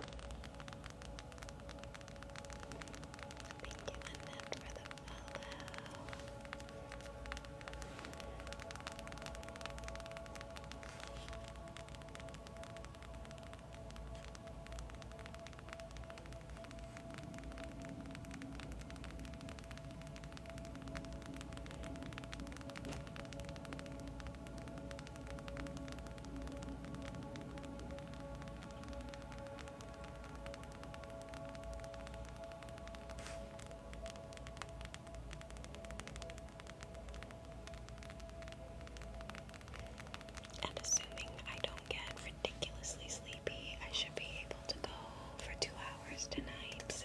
Thank you, Annette, for the follow. And assuming I don't get ridiculously sleepy, I should be able to go for two hours tonight, so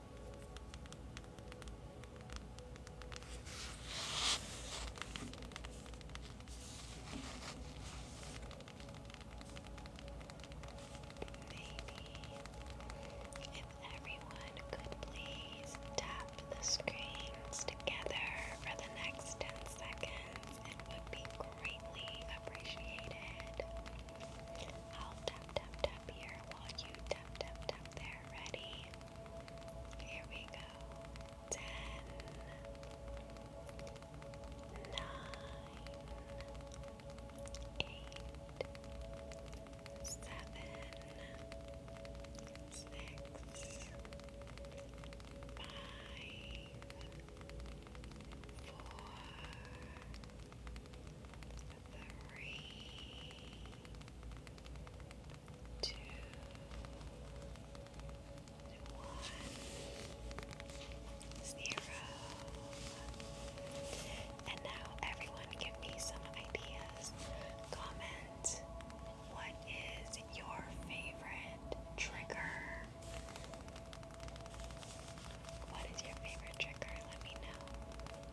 Maybe if everyone could please tap the screens together for the next 10 seconds, it would be greatly appreciated. I'll tap, tap, tap here while you tap, tap, tap there are ready. Here we go. Ten, nine, eight, seven, six, five, four three, two, one, zero. And now everyone give me some ideas. Comment what is your favorite trigger? What is your favorite trigger? Let me know.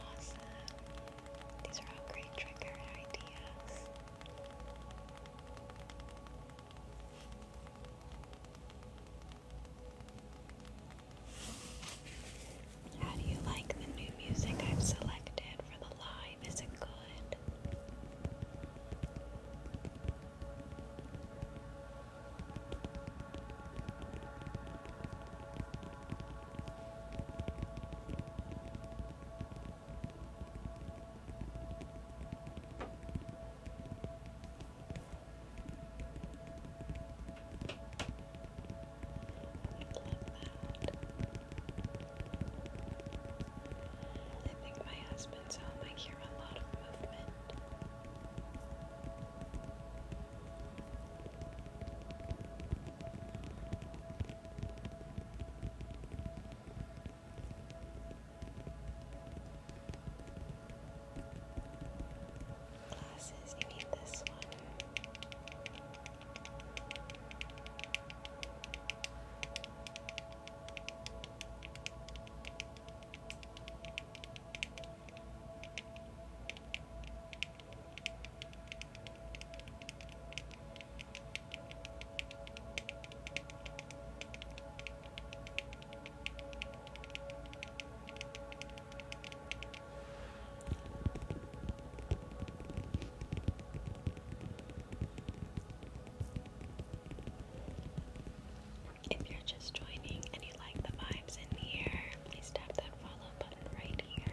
Awesome. These are all great trigger ideas. How do you like the new music I've selected for the live? Is it good? I think my husband's home. I hear a lot of movement. Glasses, you need this one. If you're just joining and you like the vibes in here, please tap that follow button right here.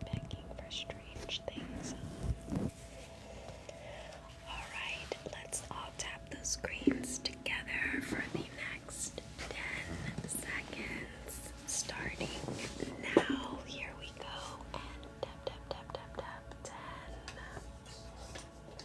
Begging for strange things. Alright, let's all tap those screens together for the next 10 seconds. Starting now. Here we go. tap, tap, tap, tap, tap. 10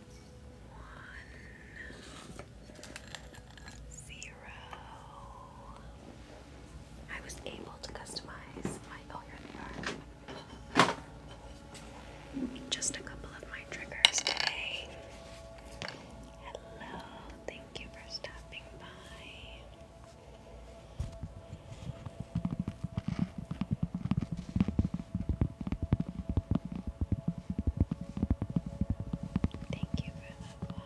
zero. I was able to customize my oh Just a couple of my triggers today. Hello, thank you for stopping by. Thank you for the follows. Thank you for the roses.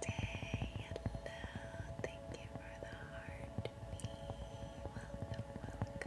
Day, hello, thank you for the heart me. Welcome, welcome.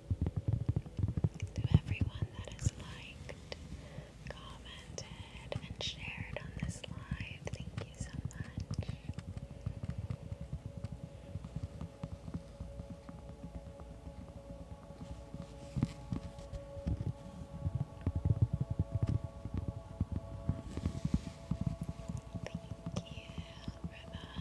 to everyone that has liked, commented, and shared on this live. Thank you so much. Thank you for the community fest.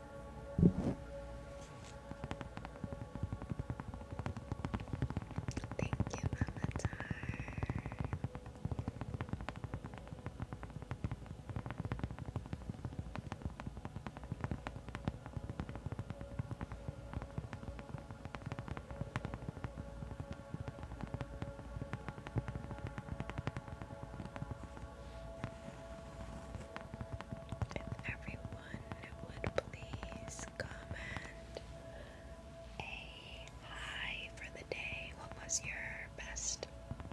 Thank you, Mama Tar. If everyone would please comment a high for the day. What was your best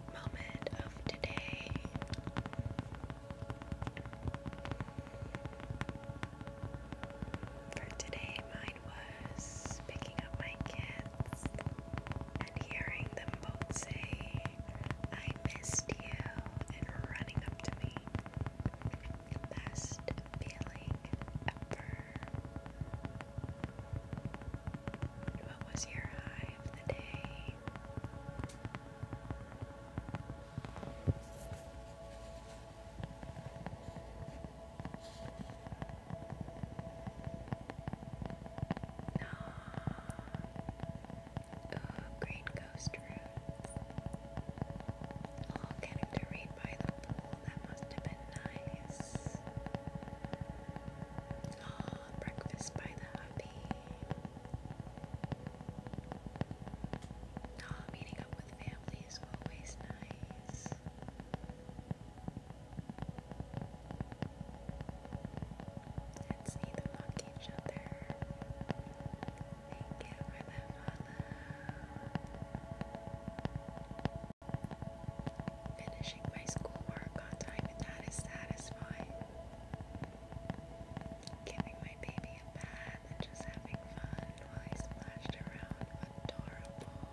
moment of today? For today, mine was picking up my kids and hearing them both say I missed you and running up to me. Best feeling ever. What was your high of the day? No. Ooh, green ghost roots. All getting to read by the pool. That must have been nice. Oh, breakfast by the hubby. Oh, meeting up with family is always nice. Let's see them each other. Thank you for the follow. Finishing my schoolwork on time and that is satisfying. Giving my baby a bath and just having fun while he splashed around. Adorable.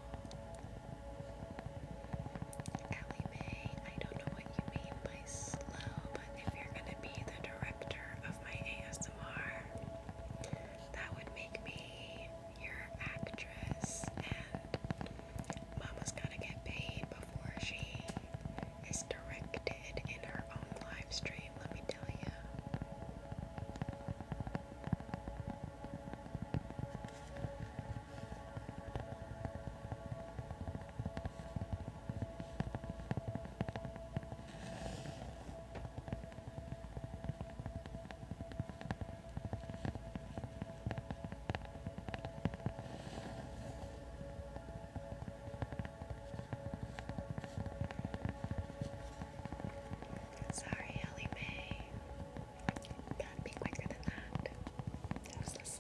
Ellie Mae, I don't know what you mean by really slow, but if you're gonna be the director of my ASMR, that would make me your actress, and Mama's gotta get paid before she is directed in her own live stream, let me tell you. Sorry, Ellie Mae. got be quicker than that. That was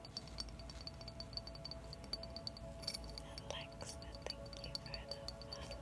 Alexa, thank you for the follow.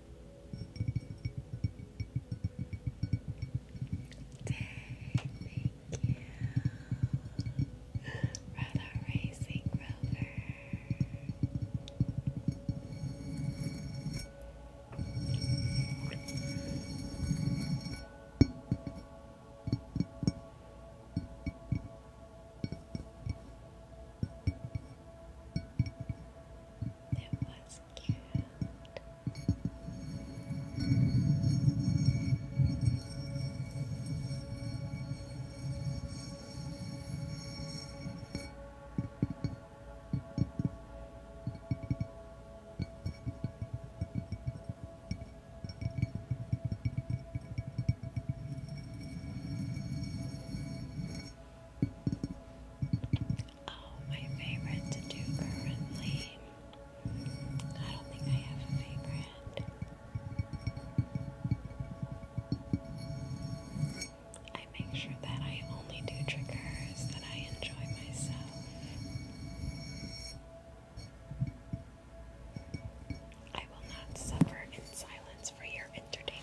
Thank you. Rather racing rover. It was cute. Oh, my favorite to do currently. I don't think I have a favorite. I make sure that I only do triggers that I enjoy myself. I will not suffer in silence for your entertainment.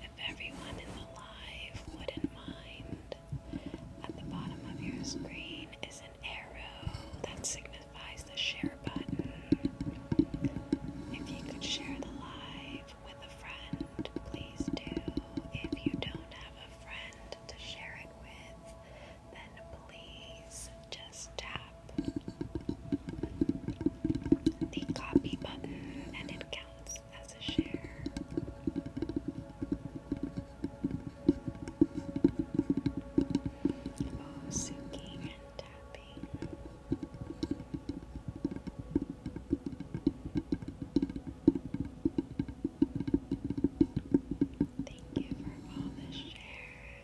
If everyone in the live wouldn't mind, at the bottom of your screen is an arrow that signifies the share button. If you could share the live with a friend, please do. If you don't have a friend to share it with, then please just tap the copy button and it counts as a share. Oh, Suki and tapping. Thank you for all the shares.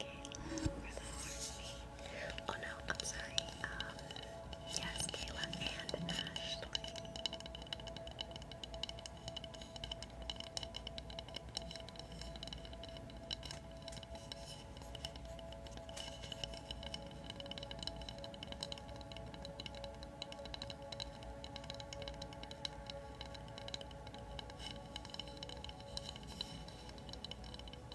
Okay, Kayla, Oh no, I'm sorry. Um, yes, Kayla and Ashley.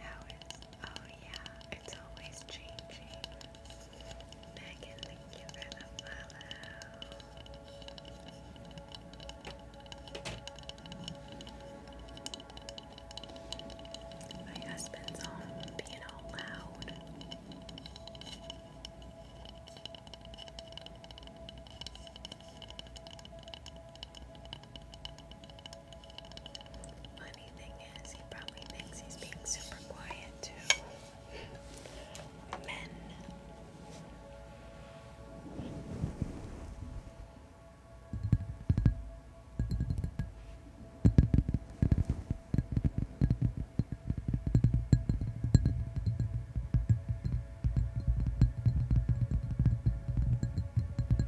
How is oh yeah, it's always changing. Megan, thank you the follow. My husband's home being loud. Funny thing is, he probably thinks he's being super quiet too. Men.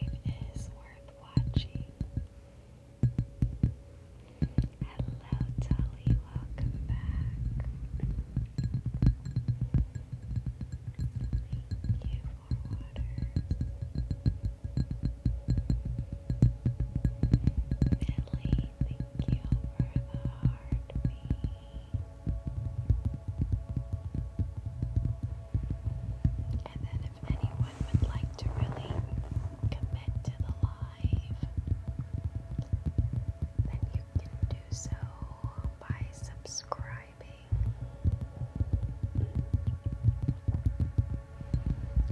live is worth watching. Hello, Tully, welcome back. Thank you for water. Millie, thank you for the heartbeat. And then, if anyone would like to really commit to the live, then you can do so by subscribing.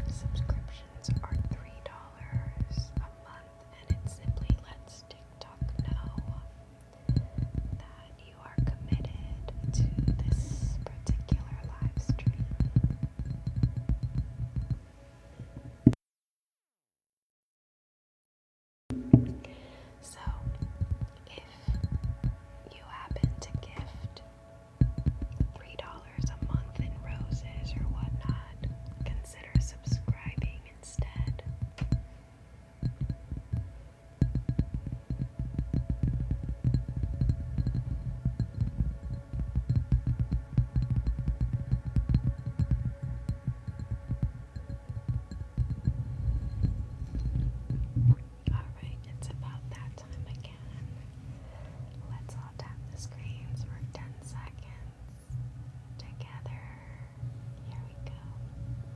Subscriptions are $3 a month, and it simply lets TikTok know that you are committed to this particular live So, if you happen to gift $3 a month in roses or whatnot, consider subscribing instead. Alright, it's about that time again. Let's all tap the screens for 10 seconds together. Here we go.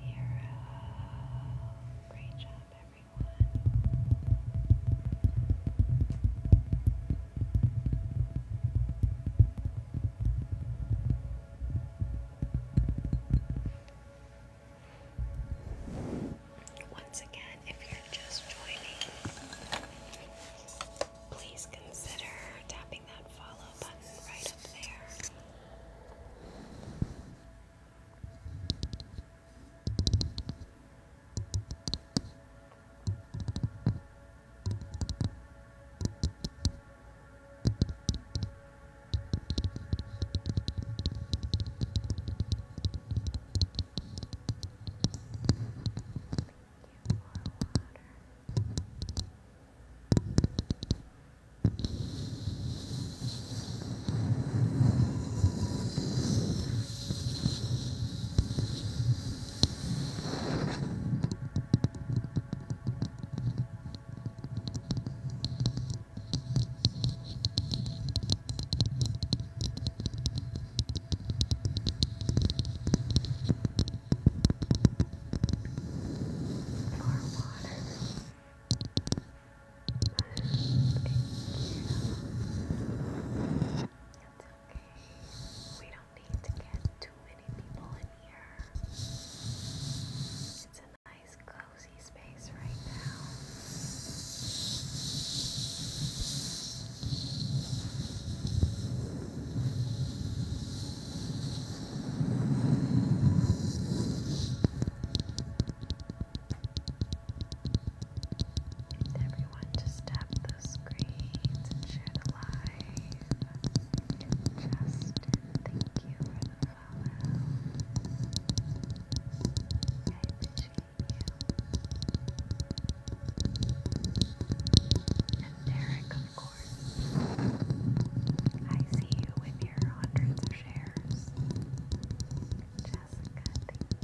zero. Great job, everyone. Once again, if you're just joining, please consider tapping that follow right up there you more Good. More water. It's okay. We don't need to get too many people in here. It's a nice cozy space right now everyone just tap those screens and share the live. Justin, thank you for the follow. I you. And of course. I see you with your hundreds of shares. Jessica, thank you.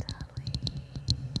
Dolly. Renee.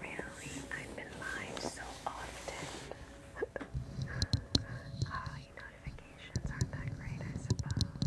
Really, I've been live so often. Holly oh, notifications aren't that great, I suppose.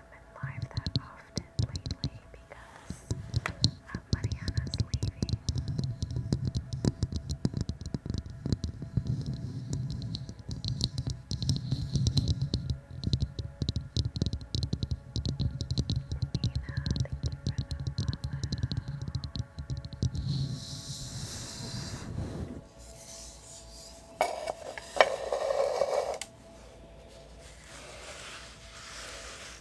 hasn't been live that often lately because uh, Mariana's leaving. thank you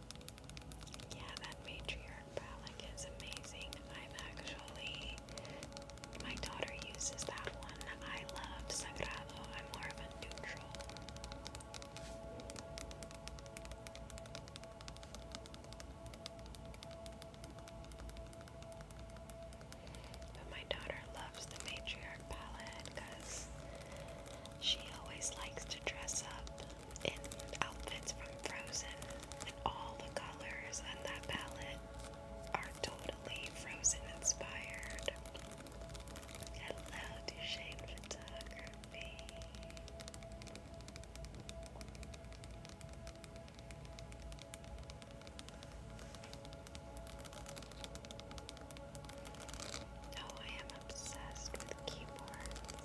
Yeah, that matriarch palette is amazing. I've actually, my daughter uses that one. I love Sagrado. I'm more of a neutral. But my daughter loves the matriarch palette because she always likes to dress up in outfits from Frozen, and all the colors on that palette are totally Frozen inspired. Hello, Duchesne Photography. Oh, I am obsessed with keyboards.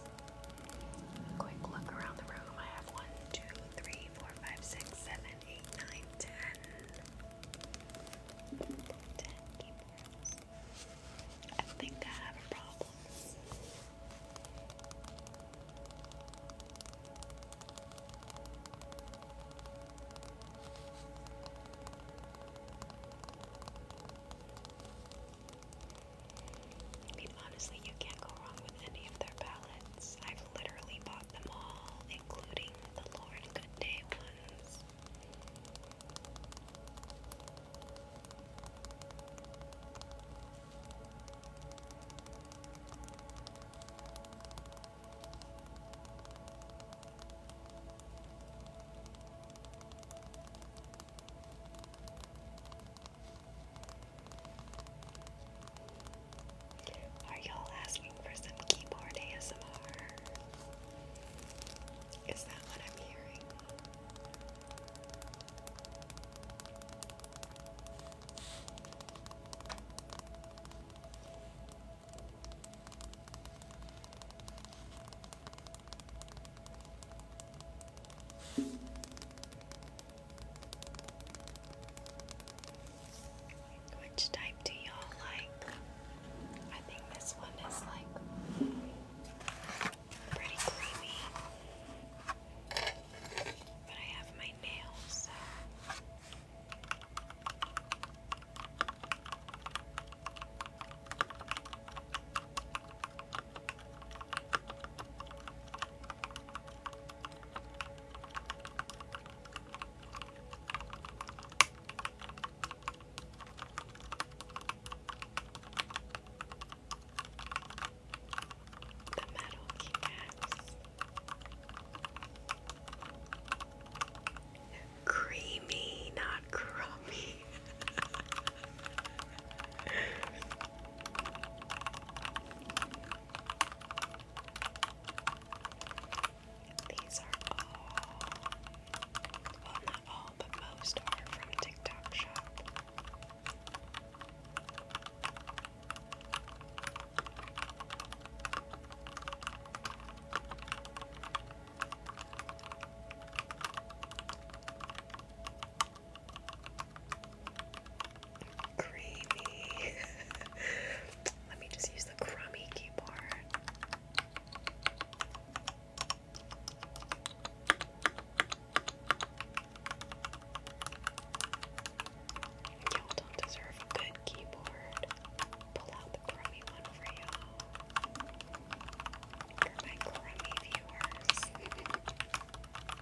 Quick look around the room. I have one, two, three, four, five, six, seven, eight, nine, ten. Ten I think I have a problem. I mean, honestly, you can't go wrong with any of their palettes. I've literally bought them all, including the Lauren Goodday ones. Are y'all asking for some keyboard ASMR? Is that what I'm hearing? Which type do y'all like? I think this one is like pretty creamy. But I have my nails, the metal keycaps. Creamy, not crummy. These are all, well, not all, but most are from TikTok Shop. Creamy. Let me just use the crummy keyboard. Y'all don't deserve a good keyboard. Pull out the crummy one for you For my crummy viewers.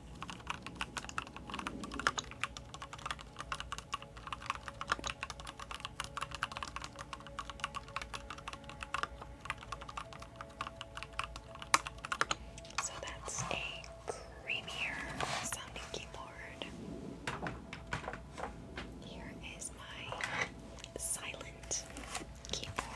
So that's a creamier sounding keyboard. Here is my silent keyboard.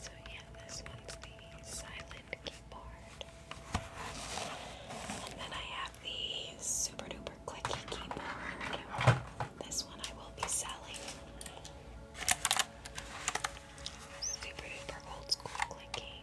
So yeah, this one's the silent keyboard. And then I have the super duper clicky keyboard. This one I will be selling. Super duper old school clicky.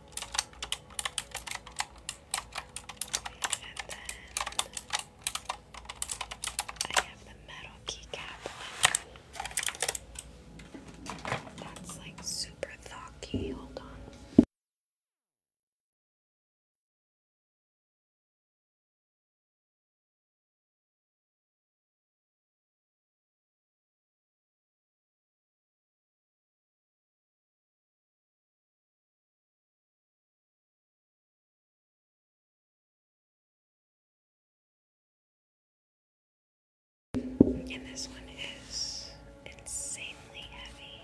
And then I have the metal keycap That's like super thocky. Hold on. And this one is insanely heavy.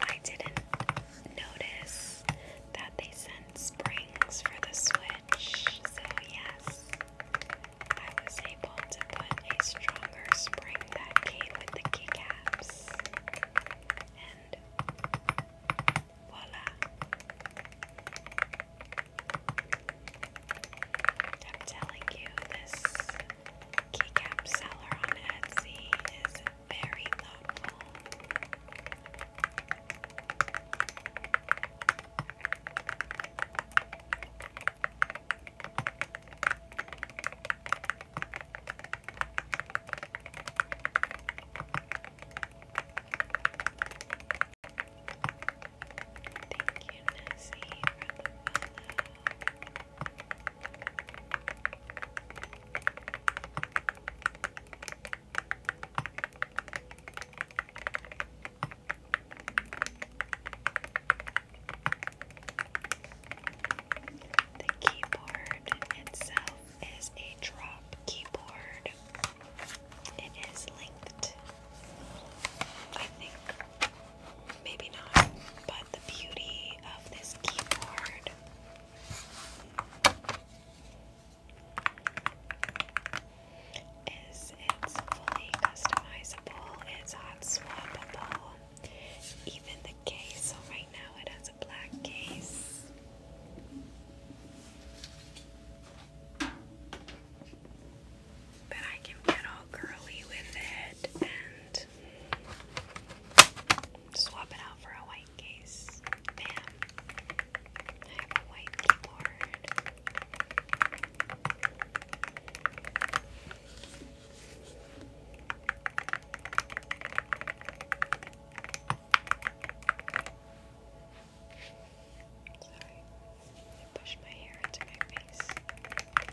I didn't notice that they sent springs for the Switch, so yes. I was able to put a stronger spring that came with the keycaps. And voila! I'm telling you, this keycap seller on Etsy is very thoughtful. Thank you, Nessie, for the follow. The keyboard itself is a drop keyboard. It is linked. I think maybe not, but the beauty of this keyboard it's fully customizable, it's hot swappable. Even the case, so right now it has a black case. But I can get all girly with it and swap it out for a white case. Bam! I have a white keyboard. Sorry, I pushed my hair into my face. Okay.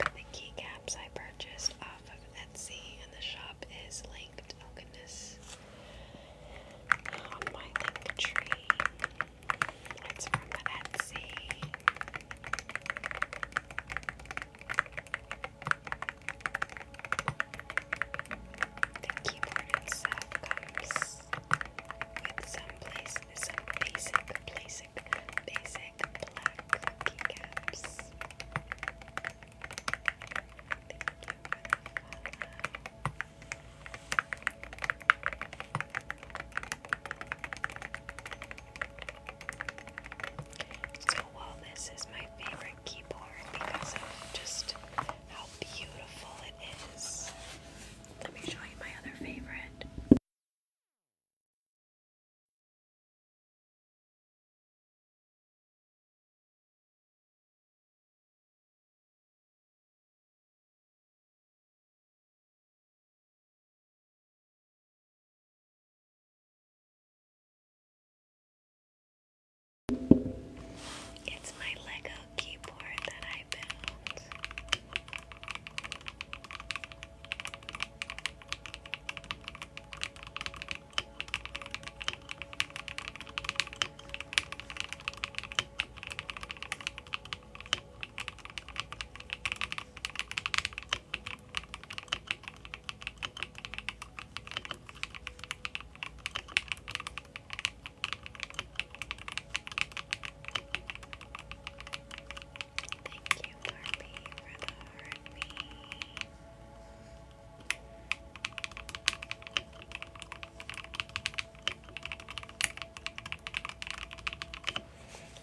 The keycaps I purchased off of Etsy and the shop is linked winged alchemist oh, oh, my link tree. It's from Etsy. The keyboard itself comes with some place, some basic, basic, black keycaps. So, while this is my favorite keyboard because of just how beautiful it is, let me show you my other favorite. It's my Lego keyboard that I built. Thank you, Barbie, for the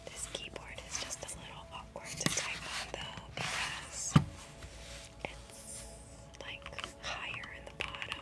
this keyboard is just a little awkward to type on though because it's like higher in the bottom.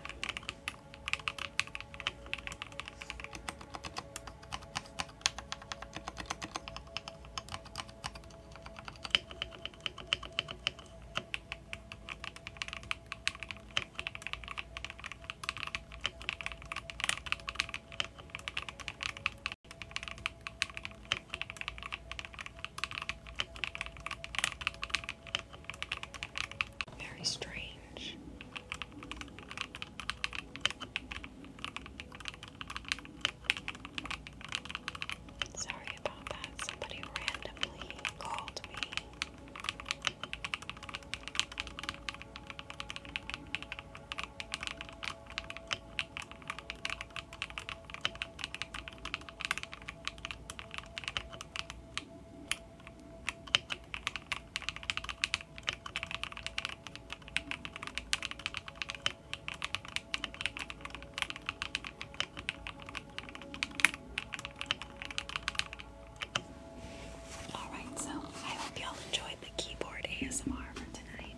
Very strange. Sorry about that. Somebody randomly called me. Alright, so I hope y'all enjoyed the keyboard ASMR for tonight.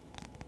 Thank you for the heartbeat, Michelle.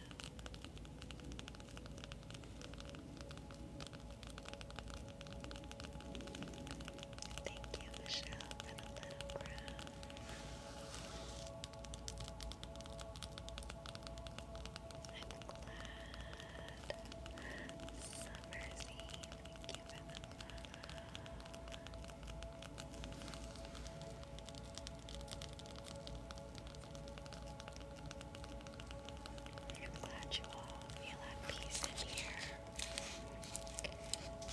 Thank you, for the little crown. I'm glad. Summer's thank you for the love. I'm glad you all feel at peace in here.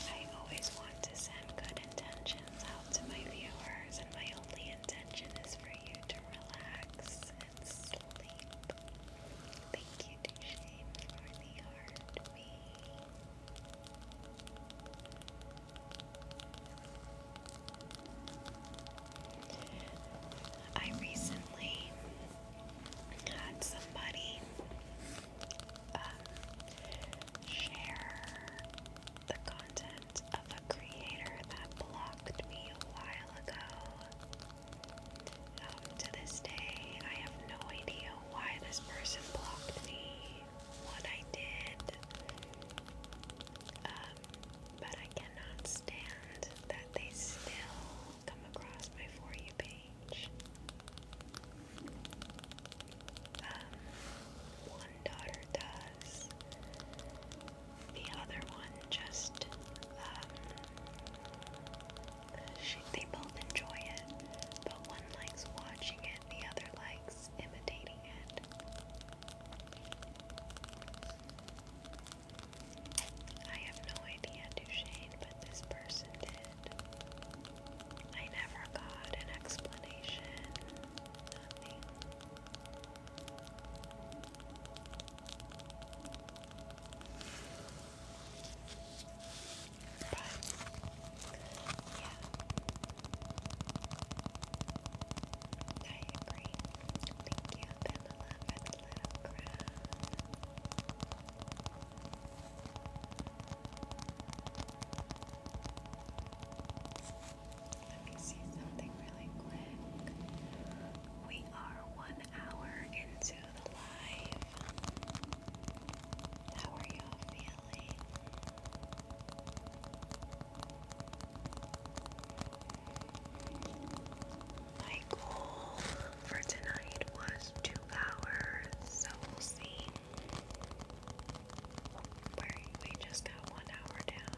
I always want to send good intentions out to my viewers, and my only intention is for you to relax and sleep. Thank you, Duchesne, for the heart. Me. I recently had somebody um, share the content of a creator that blocked me a while ago. Um, to this day, I have no idea why this person blocked me what I did, um, but I cannot stand that they still come across my For You page. Um, one daughter does, the other one just, um, she, they both enjoy it, but one likes watching it, the other likes imitating it. I have no idea, Duchesne, but this person did. I never got an explanation. Yeah. I agree. Thank you, for the love Let me see something really quick. We are one hour into the live. How are you feeling? My goal for tonight was two hours, so we'll see. we just got one hour down.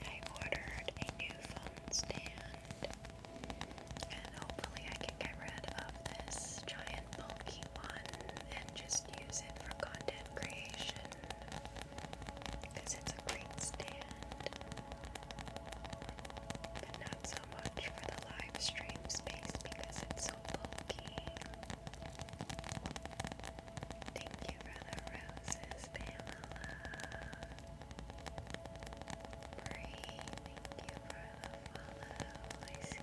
I ordered a new phone stand, and hopefully, I can get rid of this giant bulky one and just use it for content creation because it's a great stand, but not so much for the live stream space because it's so bulky. Thank you for the roses, Pamela. thank you for the follow. I see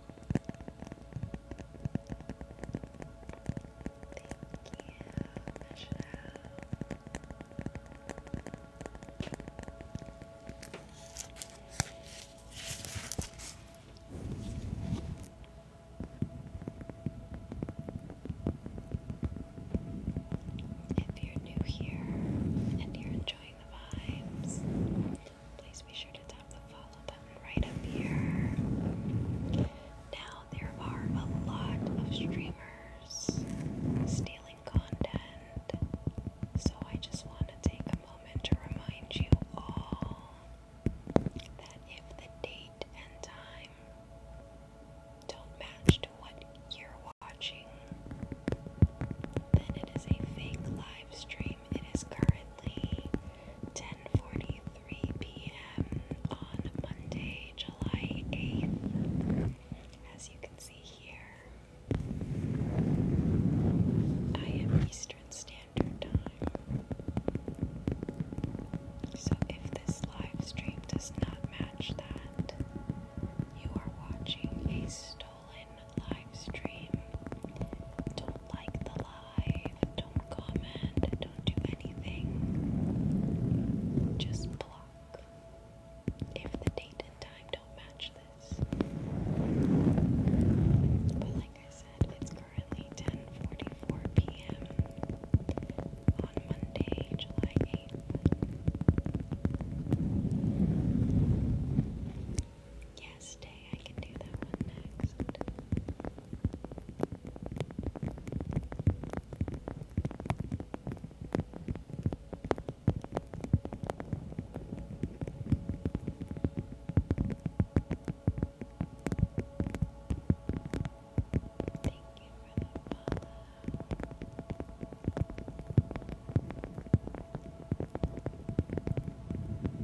If you're new here and you're enjoying the vibes, please be sure to tap the follow right up here. Now, there are a lot of streamers stealing content, so I just want to take a moment to remind you all that if the date and time don't match to what you're watching, then it is a fake live stream. It is currently 10:43 p.m. on Monday, July 8th. As you can see here, I am Eastern Standard Time. So if this live stream does not match that, you are watching a stolen live stream. Don't like the live don't comment, don't do anything. Just block. If the date and time don't match this. But like I said, it's currently 10:44 p.m. on Monday, July 8th. Yes, day. I can do that one next. Thank you for the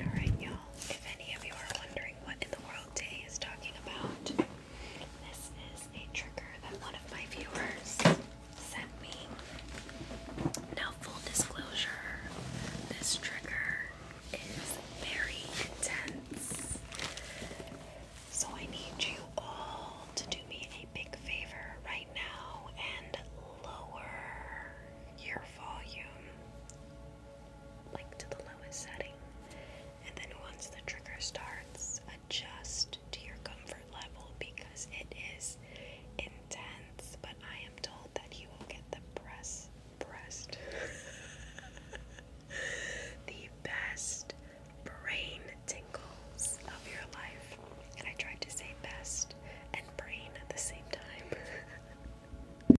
Alright, y'all. If any of you are wondering what in the world Day is talking about, this is a trigger that one of my viewers sent me. Now, full disclosure, this trigger is very intense. So, I need you all to do me a big favor right now and lower your volume like to the lowest setting. And then once the trigger starts, adjust to your comfort level because it is intense, but I am told that you will get the press breast the best brain tingles of your life. And I tried to say best and brain at the same time.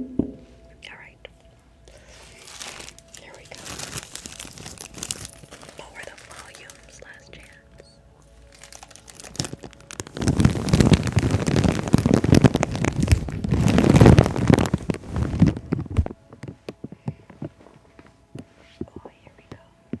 All right. Here we go. Lower the volumes, last chance. Oh, here we go.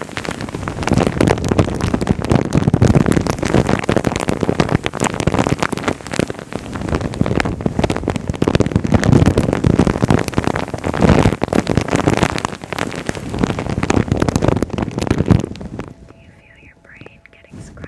Do you feel your brain getting scratched? Good.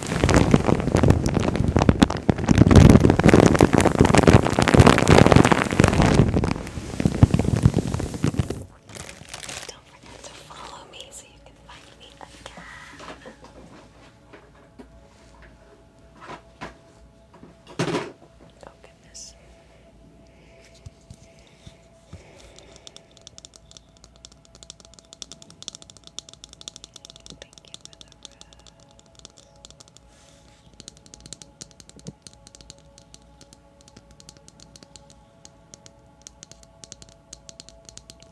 Don't forget to follow me so you can find me again. Oh, goodness. Thank you for the rose.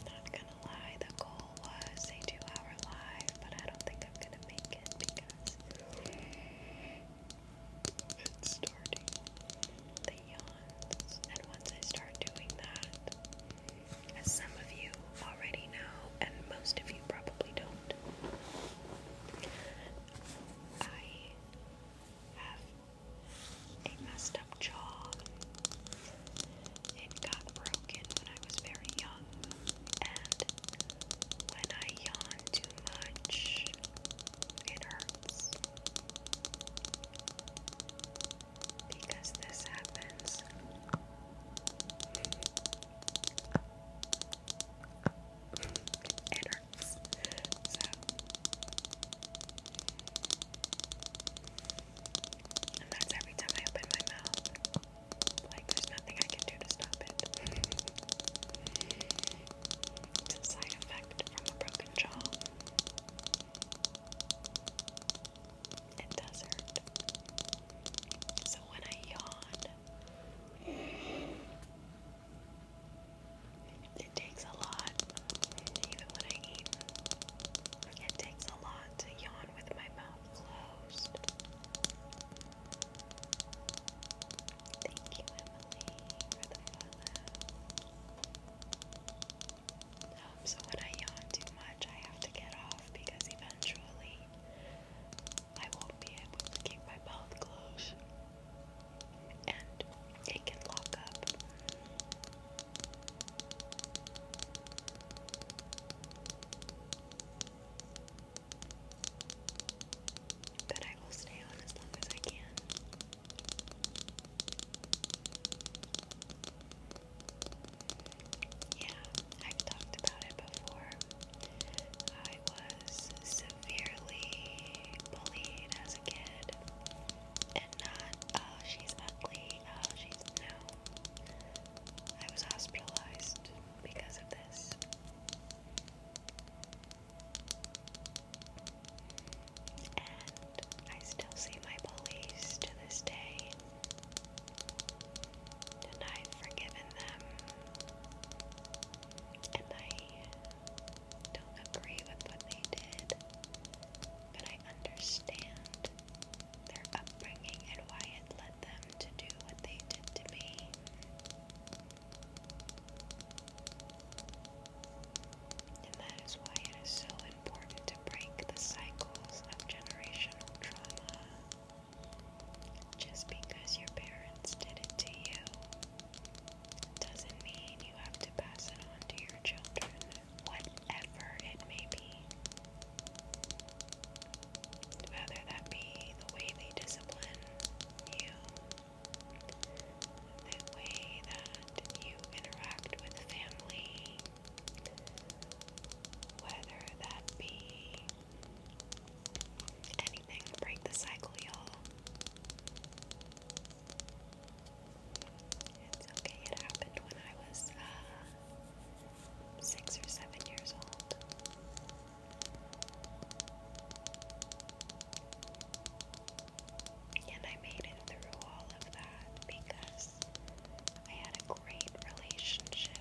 Not gonna lie, the goal was a two hour live, but I don't think I'm gonna make it because it's starting the yawns. And once I start doing that, as some of you already know, and most of you probably don't, I have a messed up jaw. It got broken when I was very young, and when I yawn too much, it hurts because this happens. it hurts. So and that's every time I open my mouth. Like there's nothing I can do to stop it. side effect from a broken jaw. It does hurt. So when I yawn, it takes a lot. Even when I eat, it takes a lot to yawn with my mouth closed. Thank you, Emily, for the so when I yawn too much, I have to get off because eventually I won't be able to keep my mouth closed and it can lock up. But I will stay on as long as I can. Yeah, i talked about it before. I was severely bullied as a kid. And not, oh, she's ugly, oh, she's no. I was hospitalized because of this. And I still see my bullies to this day. And I've forgiven them. And I don't agree with what they did, but I understand their upbringing and why it led them to do what they did to me. And that is why it is so important to break the cycles of generational trauma. Just because your parents did it to you doesn't mean you have to pass it on to your children, whatever it may be. Whether that be the way they discipline you, the way that you interact with family, whether that be anything break the cycle, It's okay, it happened when I was uh, six or seven years old. And I made it through all of that because I had a great relationship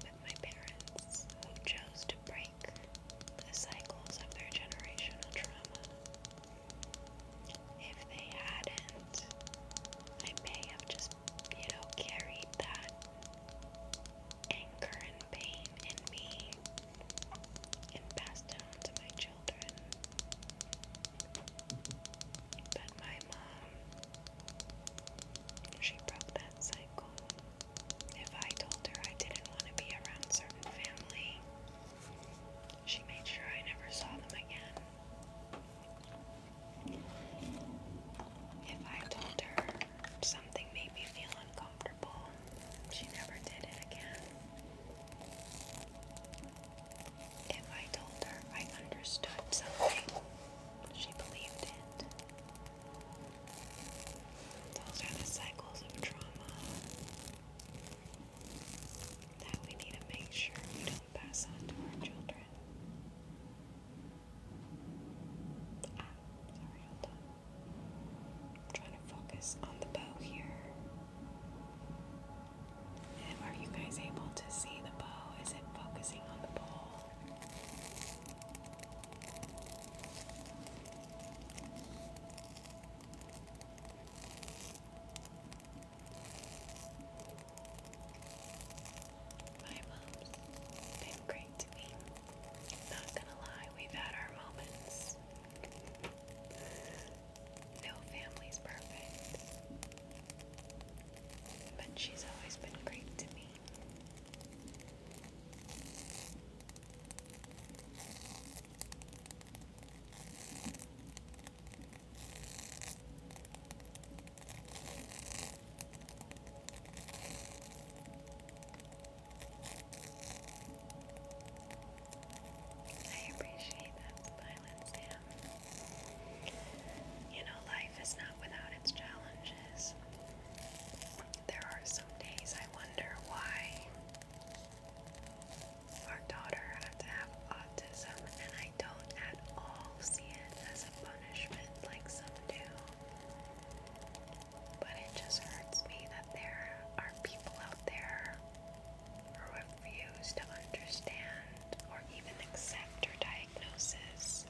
with my parents who chose to break the cycles of their generational trauma. If they hadn't, I may have just, you know, carried that anger and pain in me and passed it on to my children. But my mom, she broke that cycle. If I told her I didn't want to be around certain family, she made sure I never saw them again. If I told her something made me feel uncomfortable, she never did it again. If I told her I understood something, she believed it. Those are the cycles of trauma that we need to make sure we don't pass on to our children. Ah, sorry, I'm trying to focus on the bow here are you guys able to see the bow? Is it focusing on the ball? My mom's been great to me. Not gonna lie, we've had our moments. No family's perfect. But she's always been great to me. I appreciate that silence, you know, life is not without its challenges. There are some days I wonder why our daughter had to have autism, and I don't at all see it as a punishment like some do. But it just hurts me that there are people out there who refuse to understand or even accept her diagnosis.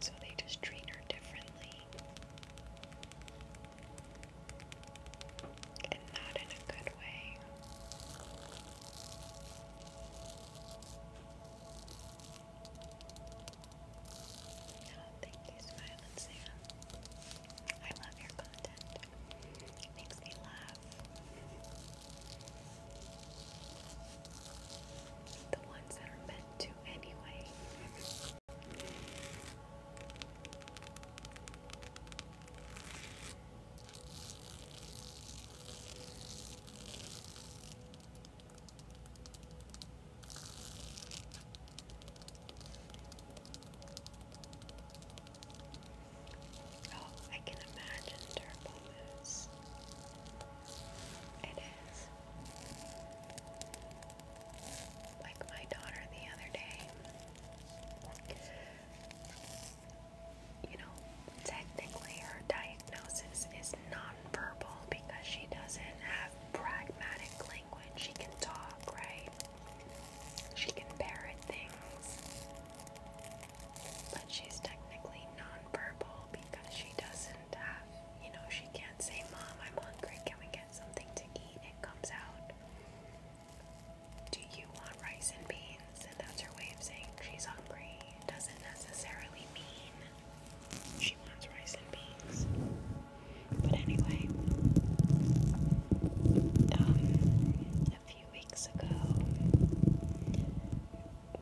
So they just treat her differently. And not in a good way. Oh, thank you, I love your content. makes me laugh. The ones that are meant to, anyway. Oh, I can imagine Turbo It is. Like my daughter the other day. You know, technically her diagnosis is nonverbal because she doesn't have pragmatic language. She can talk, right? She can parrot things but she's technically non-verbal because she doesn't have, you know, she can't say, Mom, I'm hungry, can we get something to eat? It comes out, Do you want rice and beans? And that's her way of saying she's hungry. doesn't necessarily mean she wants rice and beans. But anyway, um, few weeks ago,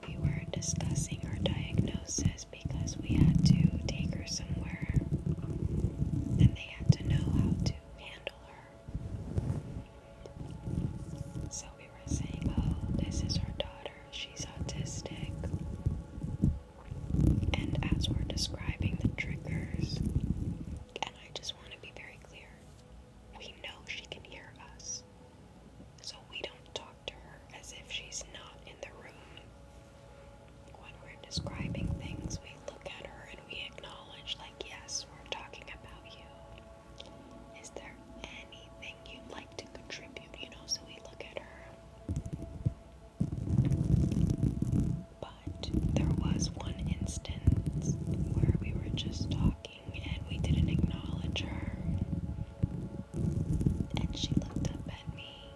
we were discussing her diagnosis because we had to take her somewhere and they had to know how to handle her. So we were saying, oh, this is her daughter, she's autistic. And as we're describing the triggers, and I just want to be very clear we know she can hear us, so we don't talk to her as if she's not in the room. When we're describing things, we look at her and we acknowledge, like, yes, we're talking about you. Is there anything you'd like to contribute? You know, so we look at her. But there was one instance where we were just talking and we didn't acknowledge her. And she looked up at me,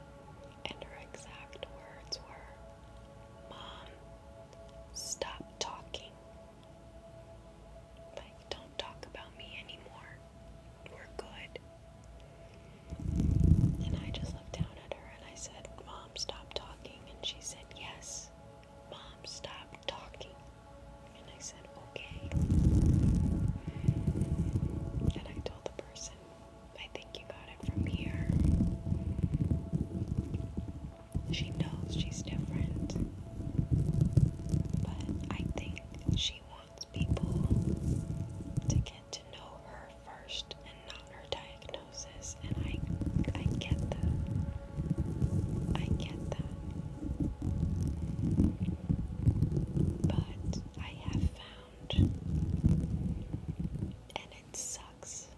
and her exact words were, Mom, stop talking. Like, don't talk about me anymore. We're good. And I just looked down at her and I said, Mom, stop talking. And she said, Yes, Mom, stop talking. And I said, okay. And I told the person, I think you got it from here. She knows she's different. But I think she wants people to get to know her first and not her diagnosis. And I I get that. I get that. But I have found, and it sucks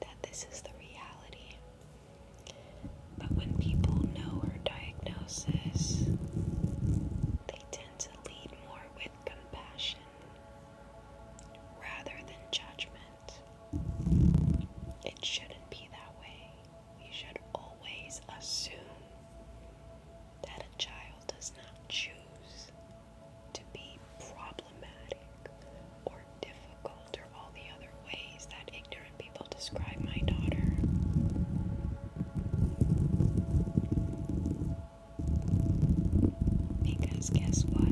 that this is the reality. But when people know her diagnosis, they tend to lead more with compassion rather than judgment. It shouldn't be that way we should always assume that a child does not choose to be problematic or difficult or all the other ways that ignorant people describe my daughter. Because guess what?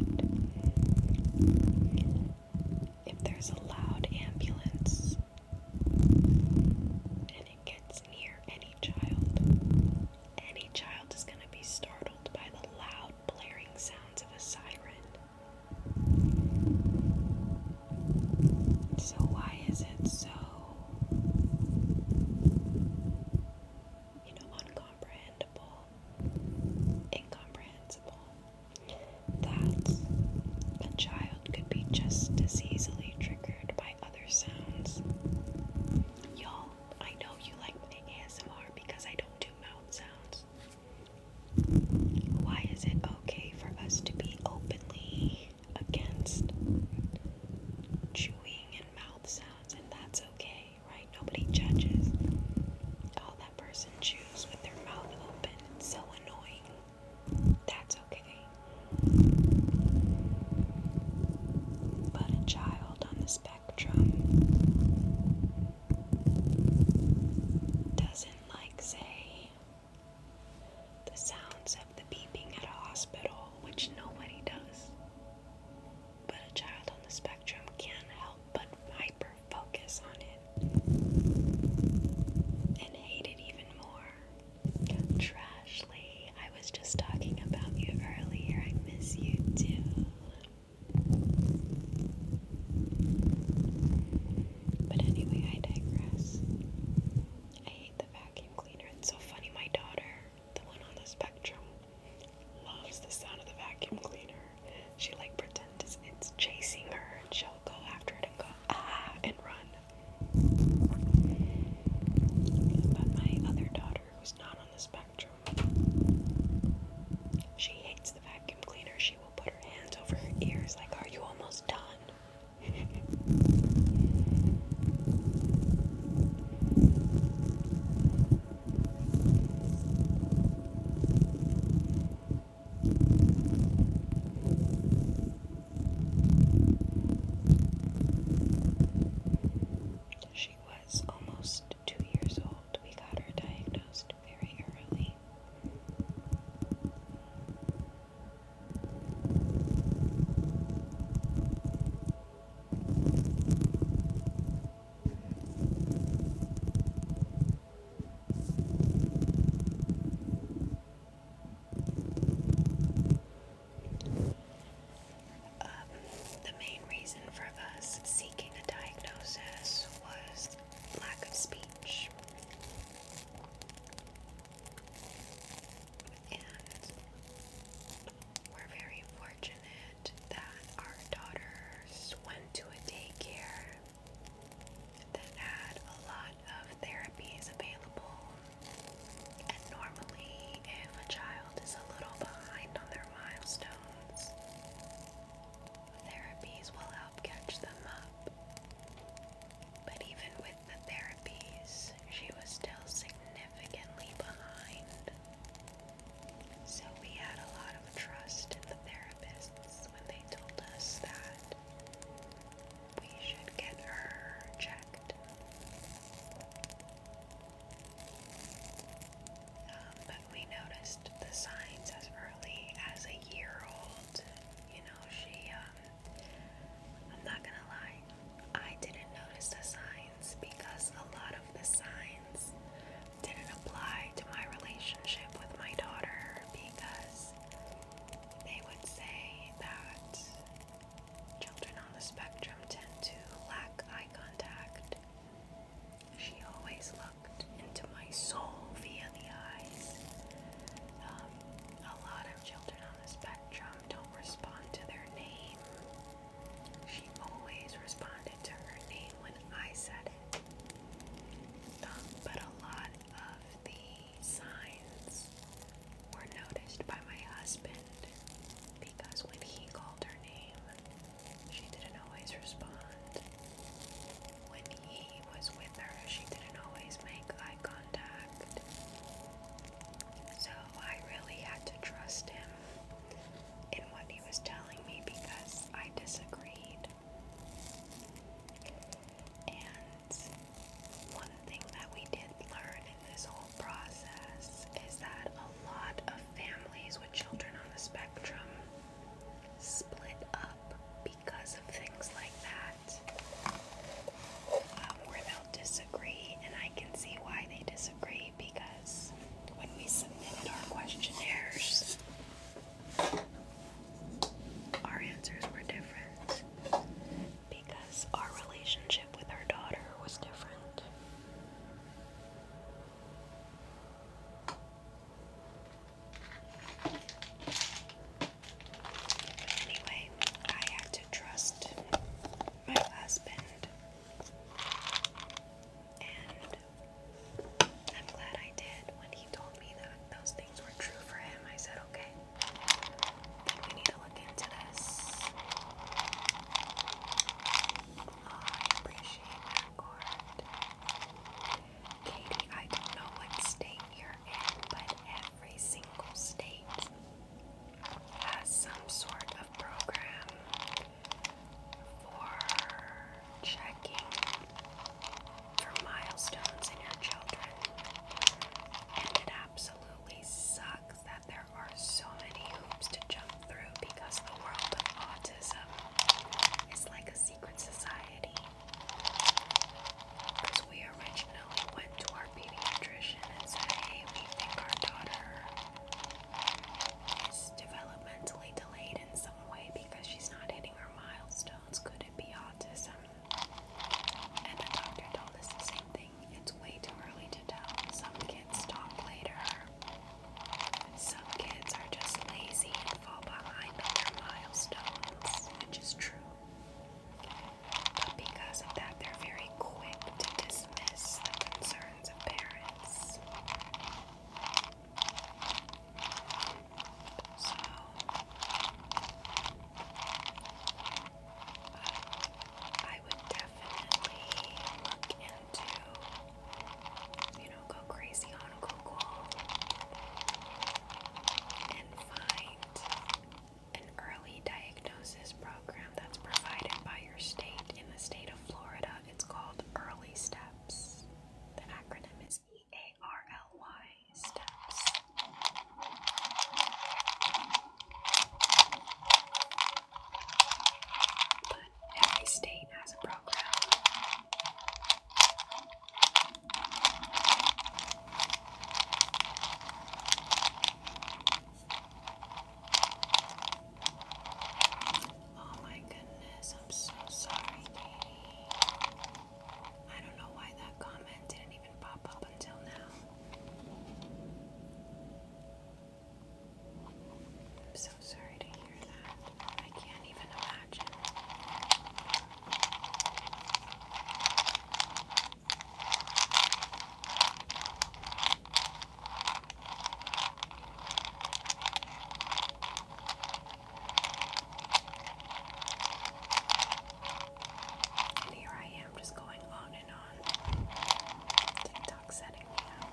if there's a loud ambulance and it gets near any child, any child is going to be startled by the loud blaring sounds of a siren. So, why is it so, you know, uncomprehendable? Incomprehensible that a child could be just as easily triggered by other sounds. Y'all, I know you like ASMR because I don't do mouth sounds. Why is it okay for us to be openly against chewing and mouth sounds, and that's okay, right? Nobody judges. All that person chews with their mouth open. It's so annoying. That's okay. But a child on the spectrum doesn't like, say, the sounds of the beeping at a hospital, which nobody does. But a child on the spectrum can't help but hyper focus on it and hate it even more. Trashly, I was just talking about you earlier. I miss you too. But anyway, I digress. I hate the vacuum cleaner. It's so funny, my daughter, the one on the spectrum, loves the sound of the vacuum cleaner. She like pretends it's chasing her and she'll go after it and go ah and run. But my other daughter, who's not on the spectrum, she hates the vacuum cleaner. She will put her hands over her ears, like, Are you almost done? She was almost two years old. We got her diagnosed very early. Um, the main reason for us seeking a diagnosis was lack of speech. And we're very fortunate that our daughters went to a daycare that had a lot of therapies available. And normally, if a child is a little behind on their milestones, therapies will help catch them up. But even with the therapies, she was still significantly behind. So we had a lot of trust in the therapists when they told us that we should get her checked. Um, but we noticed the signs as early as a year old. You know, she, um, I'm not gonna lie, I didn't notice the signs because a lot of the signs didn't apply to my relationship with my daughter because they would say that children on the spectrum tend to lack eye contact. She always looked into my soul via the eyes. Um, a lot of children on the spectrum don't respond to their name. She always responded to her name when I said it. Um, but a lot of the signs were noticed by my husband because when he called her name, she didn't always respond. When he was with her, she didn't always make eye contact. So I really had to trust him in what he was telling me because I disagreed. And one thing that we did learn in this whole process is that a lot of families with children on the spectrum split up because of things like that, uh, where they'll disagree, and I can see why they disagree because when we submitted our questionnaires, our answers were different because our relationship with our daughter was different. anyway, I had to trust my husband. And I'm glad I did when he told me that those things were true for him, I said, okay, we need to look into this. Oh, I appreciate that, Gord. Katie, I don't know what state you're in, but every single state has some sort of program for checking for milestones in your children. And it absolutely sucks that there are so many hoops to jump through because the world of autism is like a secret society. Because we originally went to our pediatrician and said, hey, we think our daughter is developmentally delayed in some way because she's not hitting her milestones. Could it be autism? And the doctor told us the same thing. It's way too early to tell. Some kids talk later. and Some kids are just lazy and fall behind on their milestones, which is true. But because of that, they're very quick to dismiss the concerns of parents. So, I would definitely look into, you know, go crazy on Google and find an early diagnosis program that's provided by your state. In the state of Florida, it's called Early Steps. The acronym is E A R L Y every state has a program. Oh my goodness, I'm so sorry, Katie. I don't know why that comment didn't even pop up until now. I'm so sorry to hear that. I can't even imagine. And here I am just going on and on. TikTok setting me up.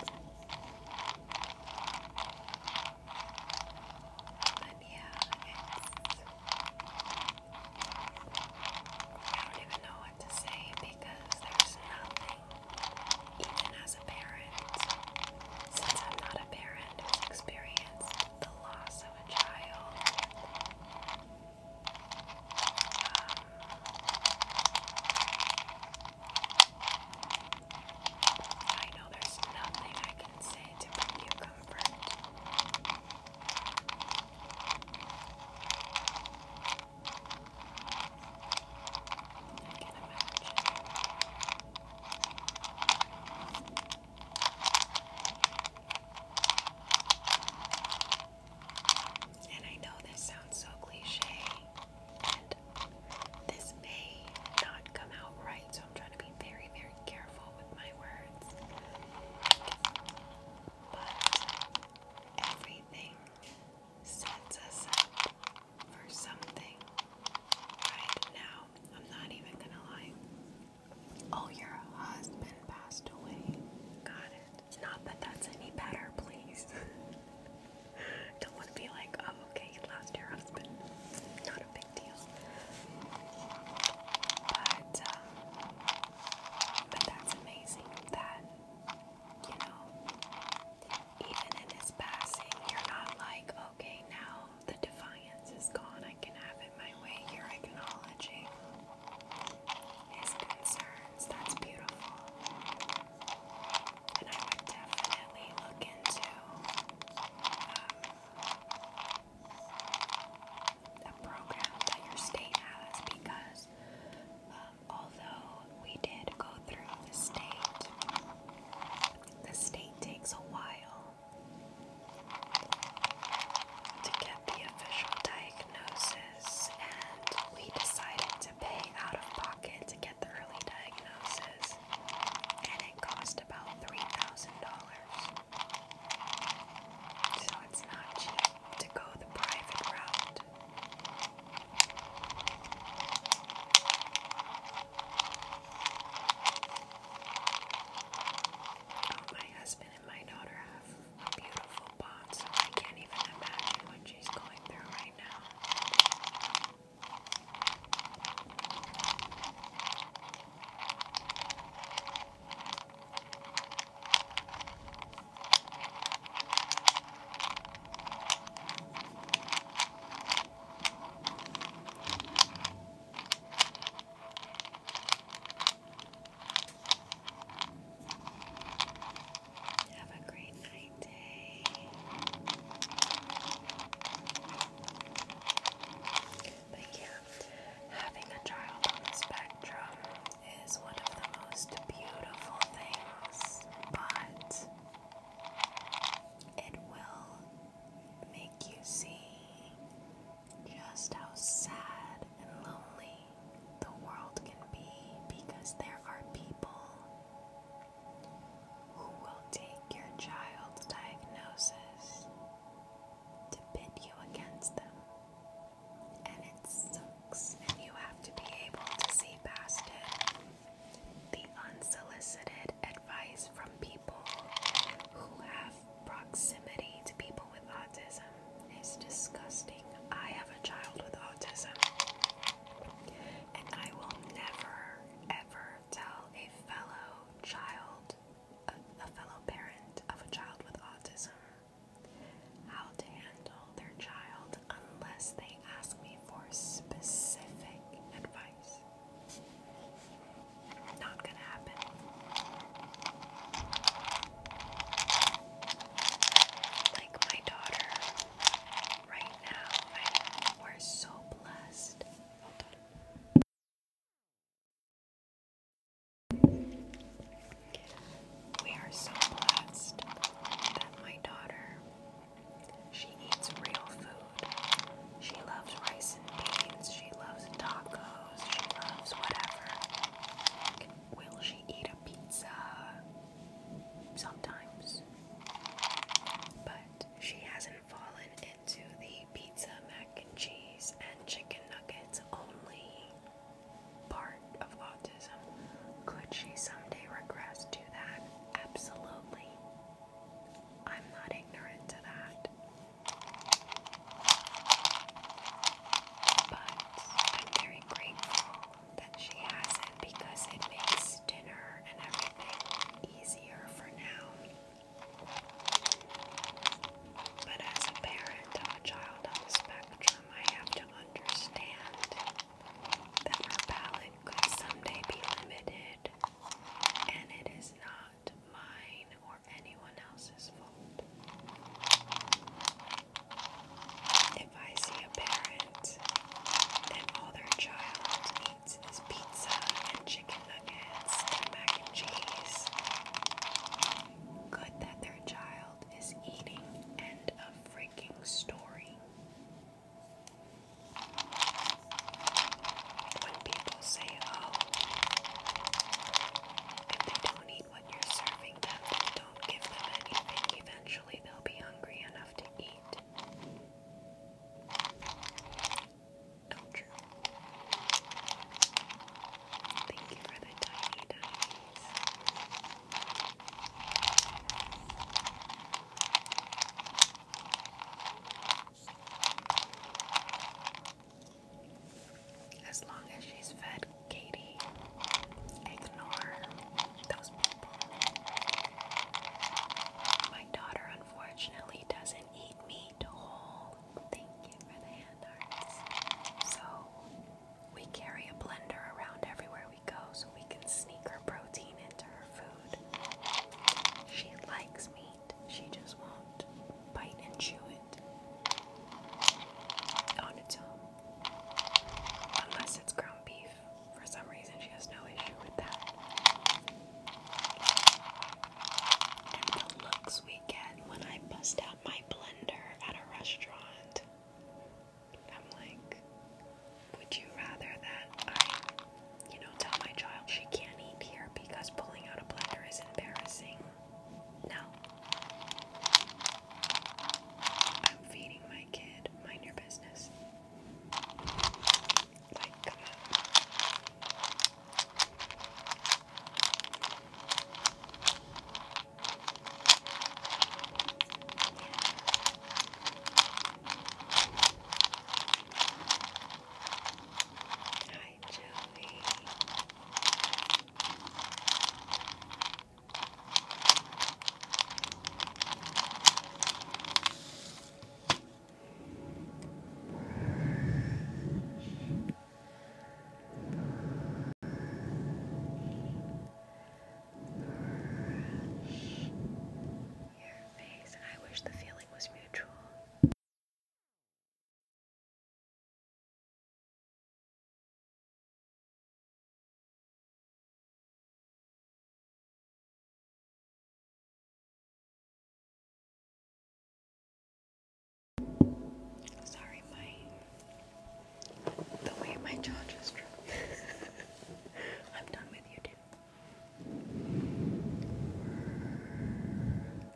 But yeah, I don't even know what to say because there's nothing, even as a parent, since I'm not a parent who's the loss of I know there's nothing I can say to bring you comfort. I can imagine. And I know this sounds so cliche, and this may not come out right, so I'm trying to be very, very careful with my words. But everything sets us up for something right now. I'm not even gonna lie. Oh, your husband passed away. Got it. Not that that's any better, please. Don't want to be like, oh, okay, you lost your husband. Not a big deal. But, uh, but that's amazing that, you know, even in his passing, you're not like, okay, now the defiance is gone. I can have it my way. you acknowledging his concerns. That's beautiful. And I would definitely look into um, program that your state has because um, although we did go through the state, the state takes a while to get the official diagnosis, and we decided to pay out of pocket to get the early diagnosis, and it cost about $3,000. So it's not cheap to go the private route. Oh, my husband my daughter have beautiful bonds, I can't even imagine what she's going through right now. Have a great night, day. But yeah, having a child on the spectrum is one of the most beautiful things, but it will make you see just how sad and lonely the world can be because there are people who will take your child's diagnosis to pit you against them. And it sucks, and you have to be able to see past it. The unsolicited advice from people who have Proximity to people with autism is disgusting. I have a child with autism, and I will never, ever tell a fellow child, a, a fellow parent of a child with autism, how to handle their child unless they ask me for specific advice. Not gonna happen. Like my daughter, right now, we're so blessed. We are so blessed that my daughter, she eats real food. She loves rice she loves tacos, she loves whatever. Will she eat a pizza? Sometimes. But she hasn't fallen into the pizza, mac and cheese, and chicken nuggets only part of autism. Could she someday regress to that? Absolutely. I'm not ignorant to that. But I'm very grateful that she has it because it makes dinner and everything easier for now. But as a parent of a child on the spectrum, I have to understand that her palate could someday be limited, and it is not mine or anyone else's fault. If I see a parent and all their child eats is pizza and chicken nuggets and mac and cheese, good that their child is eating. End of freaking story people say, oh, if they don't eat what you're serving them, don't give them anything. Eventually, they'll be hungry enough to eat. true. Thank you for the tiny dice. As long as she's fed, Katie, ignore those people. My daughter, unfortunately, doesn't eat meat whole. Oh, thank you for the hand arts. So, we carry a blender around everywhere we go so we can sneak her protein into her food. She likes me she just won't bite and chew it on its own. Unless it's ground beef. For some reason, she has no issue with that. And the looks we get when I bust out my blender at a restaurant. I'm like, would you rather that I, you know, tell my child she can't eat here because pulling out a blender is embarrassing no. I'm feeding my kid. Mind your business. Like, come on. Yeah. I wish the feeling was mutual. Sorry, my the way my jaw just dropped. I'm done with you too.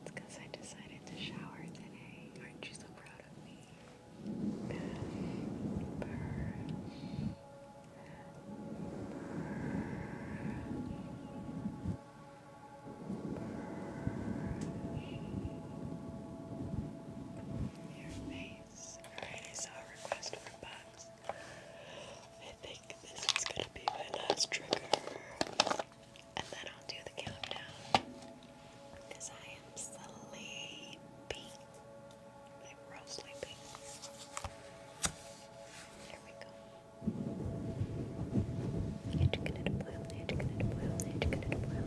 It's because I decided to shower today. Aren't you so proud of me? Brush, brush, brush, brush. Alright, I saw a request for bugs. I think this is gonna be my last trigger. And then I'll do the countdown. Because I am sleepy. I'm real sleepy. There we go. Educated boil, educated boil, educated boil,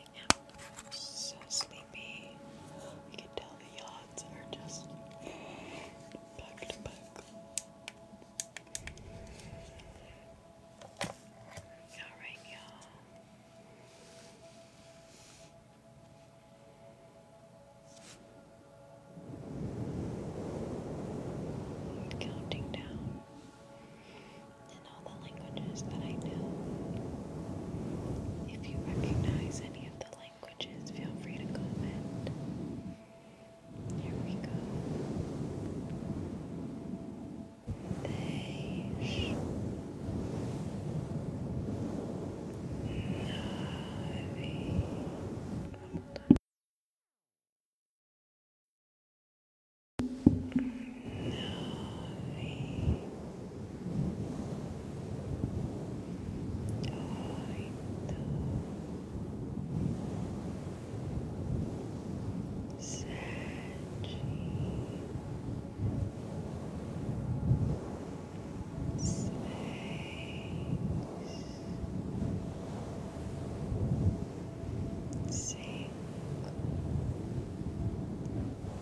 so sleepy. You can tell the yawns are just back to back. Alright, y'all. Counting down in all the languages that I know. If you recognize any of the languages, feel free to comment. Here we go. They sh Navi. Hold on. Navi oito, sete, seis, cinco. Quatro,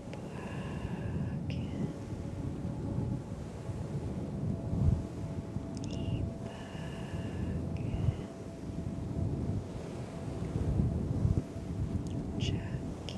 black in. Eat back in. She back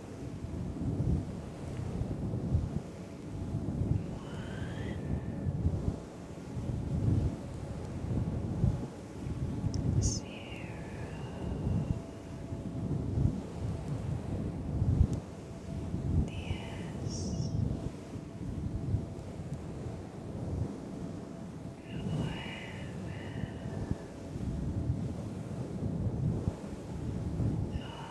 one, zero. Yes. Nueve. Ocho.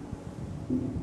Settle.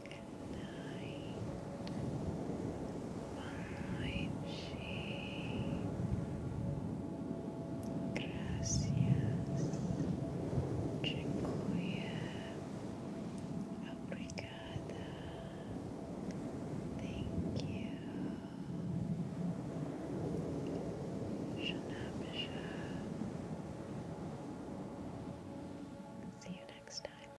night, Gracias, dziękuję, obrigada, thank you. Shana See you next time.